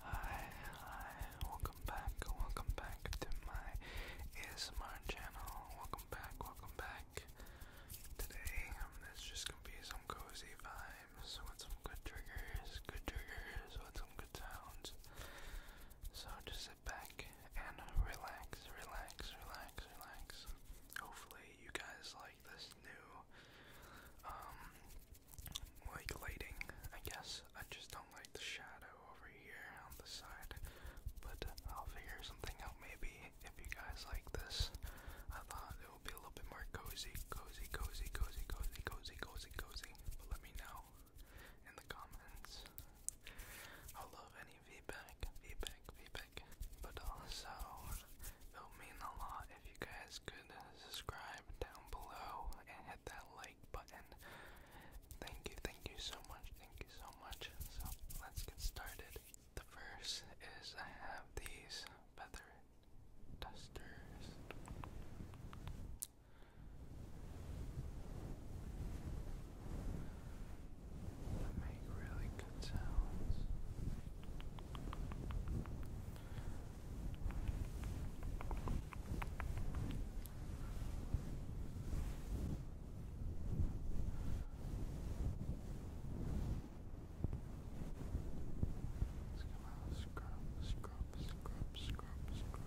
Hi, hi, welcome back, welcome back to my ASMR channel. Welcome back, welcome back. Today, um, it's just gonna be some cozy vibes with some good triggers, good triggers, with some good sounds. So just sit back and relax, relax, relax, relax. Hopefully you guys like this new um lighting, I guess. I just don't like the shadow over here on the side. But I'll figure something out maybe if you guys like this. I thought it would be a little bit more cozy, cozy, cozy, cozy, cozy, cozy, cozy, cozy. let me know in the comments. I love feedback, feedback, feedback. But also, it would mean a lot if you guys could subscribe down below and hit that like button. Thank you, thank you so much, thank you so much. So let's get started. The first is I have these feather dusters that make really good sounds. Let's come out, scrub, scrub, scrub, scrub, scrub.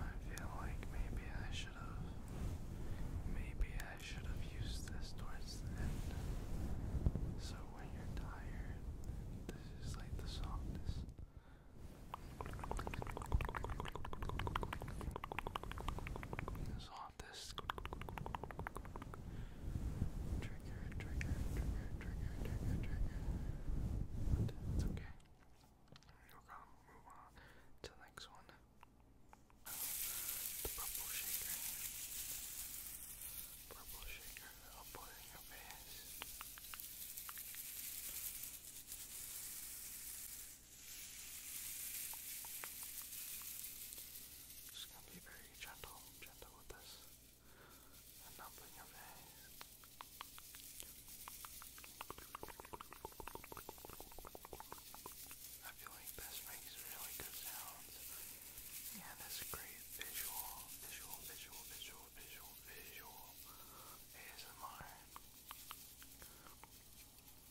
I feel like maybe I should have maybe I should have used this towards the end. So when you're tired, this is like the softest this trigger, trigger, trigger, trigger, trigger, trigger. it's okay. We're gonna move on to the next one. purple shaker. Purple shaker. I'll put your face. Just gonna be very gentle gentle with I feel like this makes really good sounds. Yeah, this great visual, visual, visual, visual, visual, visual ASMR.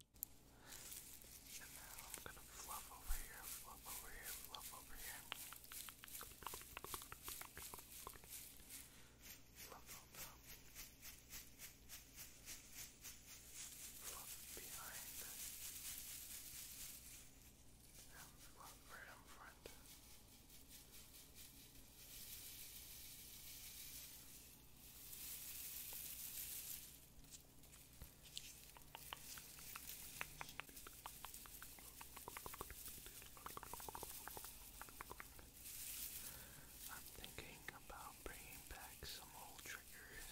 And now I'm gonna fluff over here, fluff over here, fluff over here. Fluff on top. Fluff behind. And fluff right in front. I'm thinking about bringing back some old triggers.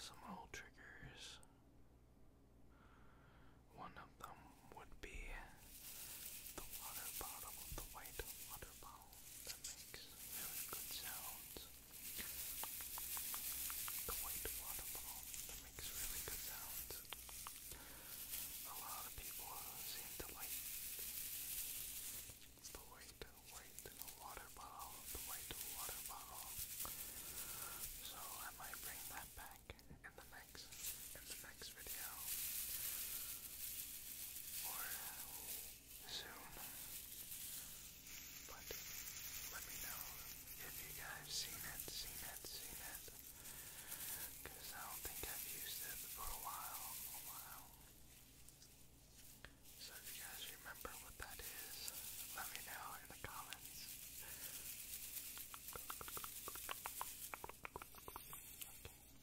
Some old triggers. One of them would be the water bottle, the white water bottle that makes really good sounds. The white waterfall that makes really good sounds. A lot of people seem to like the white, white water bottle, the white water bottle. So I might bring that back in the next in the next video or soon. But let me know if you guys seen it, seen it, seen it. Cause I don't think I've used it for a while, a while. So if you guys remember what that is, let me know in the comments. Okay.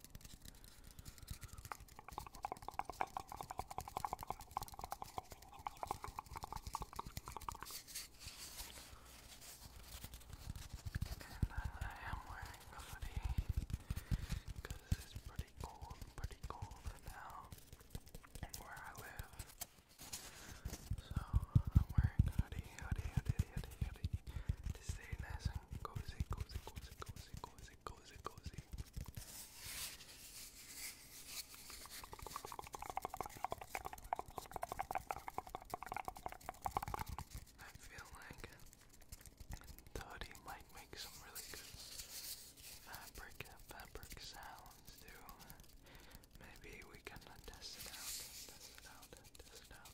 And uh, I am wearing a hoodie because it's pretty cold, pretty cold now where I live. So I'm wearing hoodie, hoodie, hoodie, hoodie, hoodie to stay nice and cozy, cozy, cozy, cozy, cozy, cozy, cozy, cozy. I feel like Doddy might make some really good fabric fabric sounds too. Maybe we can test it out, test it out, test it out.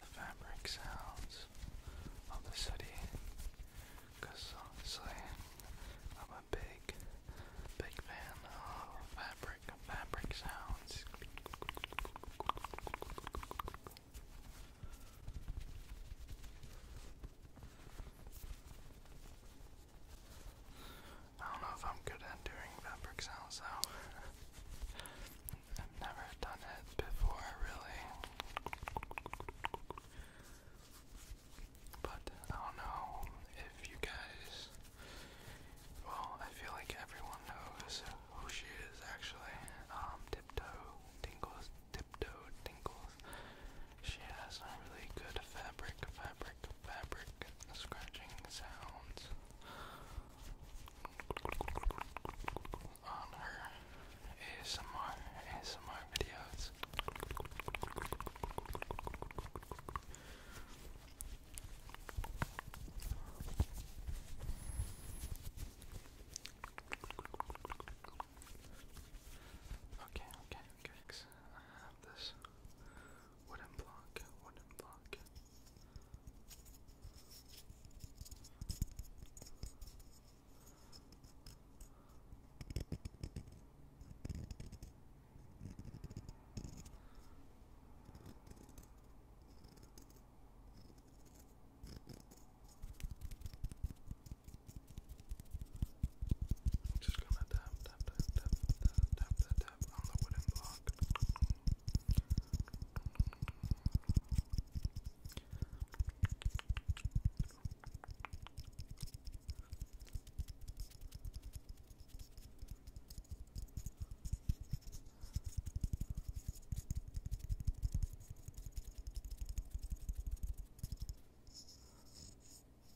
The fabric sounds of the city honestly, I'm a big, big fan of fabric, fabric sounds. I don't know if I'm good at doing fabric sounds I've never done it before, really. But I don't know if you guys. Well, I feel like everyone knows who she is actually. Um, Tiptoe Tinkles, Tiptoe Tinkles. She has some really good fabric, fabric, fabric scratching sounds on her ASMR, ASMR videos. Okay, okay, okay. I have this wooden block, wooden block. just gonna tap, tap, tap, tap, tap, tap, tap, step on the wooden block. All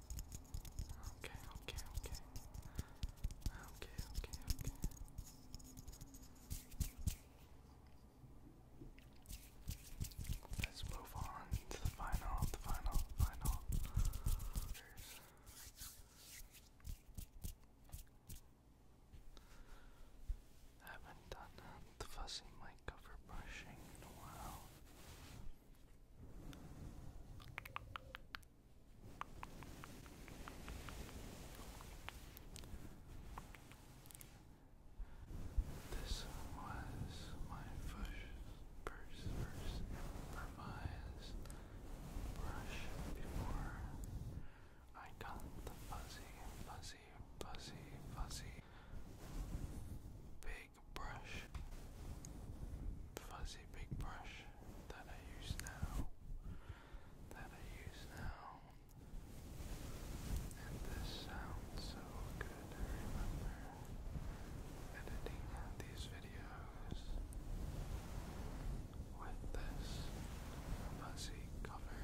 Okay, okay, okay. Okay, okay, Let's move on to the final, the final, final. haven't done the fussy mic cover brushing in a while. This was my first, first, first improvised brush before I got the fuzzy, fuzzy, fuzzy, fuzzy big brush, fuzzy big brush that I use now, that I use now, and this sounds so good. remember editing these videos with this fuzzy cover,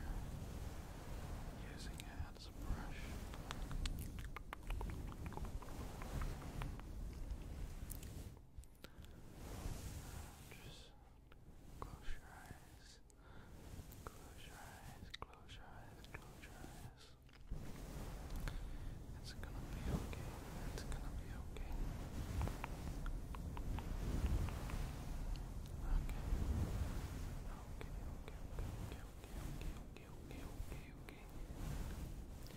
using it that's a brush. Just close your eyes. Close your eyes. Close your eyes. Close your eyes. It's gonna be okay. It's gonna be Okay. Okay. Okay. okay okay, okay, okay, okay, okay, okay.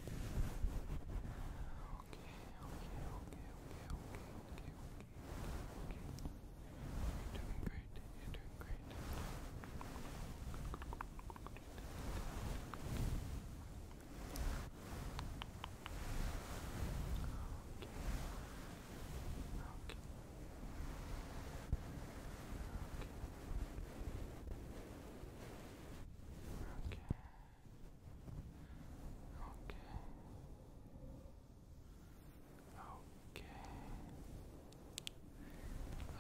Okay, okay, okay, okay, okay, okay, okay, okay. You're doing great, you're doing great. Okay. Okay. Okay. Okay. Okay.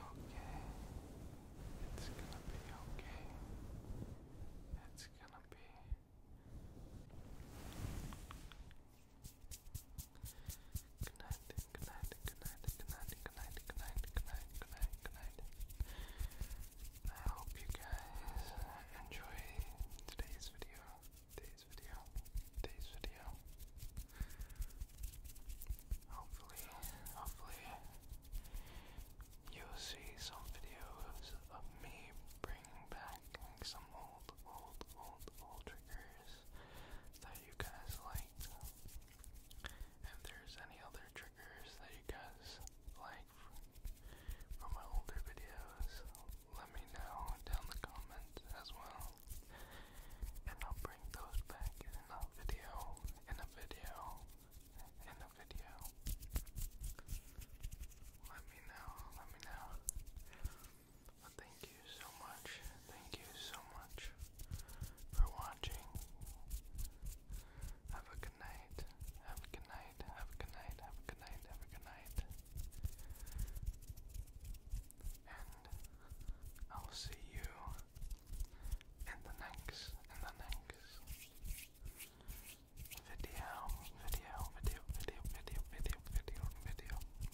Okay. It's gonna be okay. It's gonna be Good night, good night, good night, good night, good night, good night, good night, good night, good night. I hope you guys enjoy today's video. Today's video. Today's video. Hopefully, hopefully you'll see some videos of me bringing back some old, old, old, old triggers that you guys like. If there's any other triggers that you guys like from my older videos, let me know down the comments as well. And I'll bring those back in a video, in a video, in a video. Let me know, let me know thank you so much. Thank you so much for watching. Have a good night. Have a good night. Have a good night. Have a good night. Have a good night. And I'll see you in the next, in the next video, video, video, video, video, video, video, video.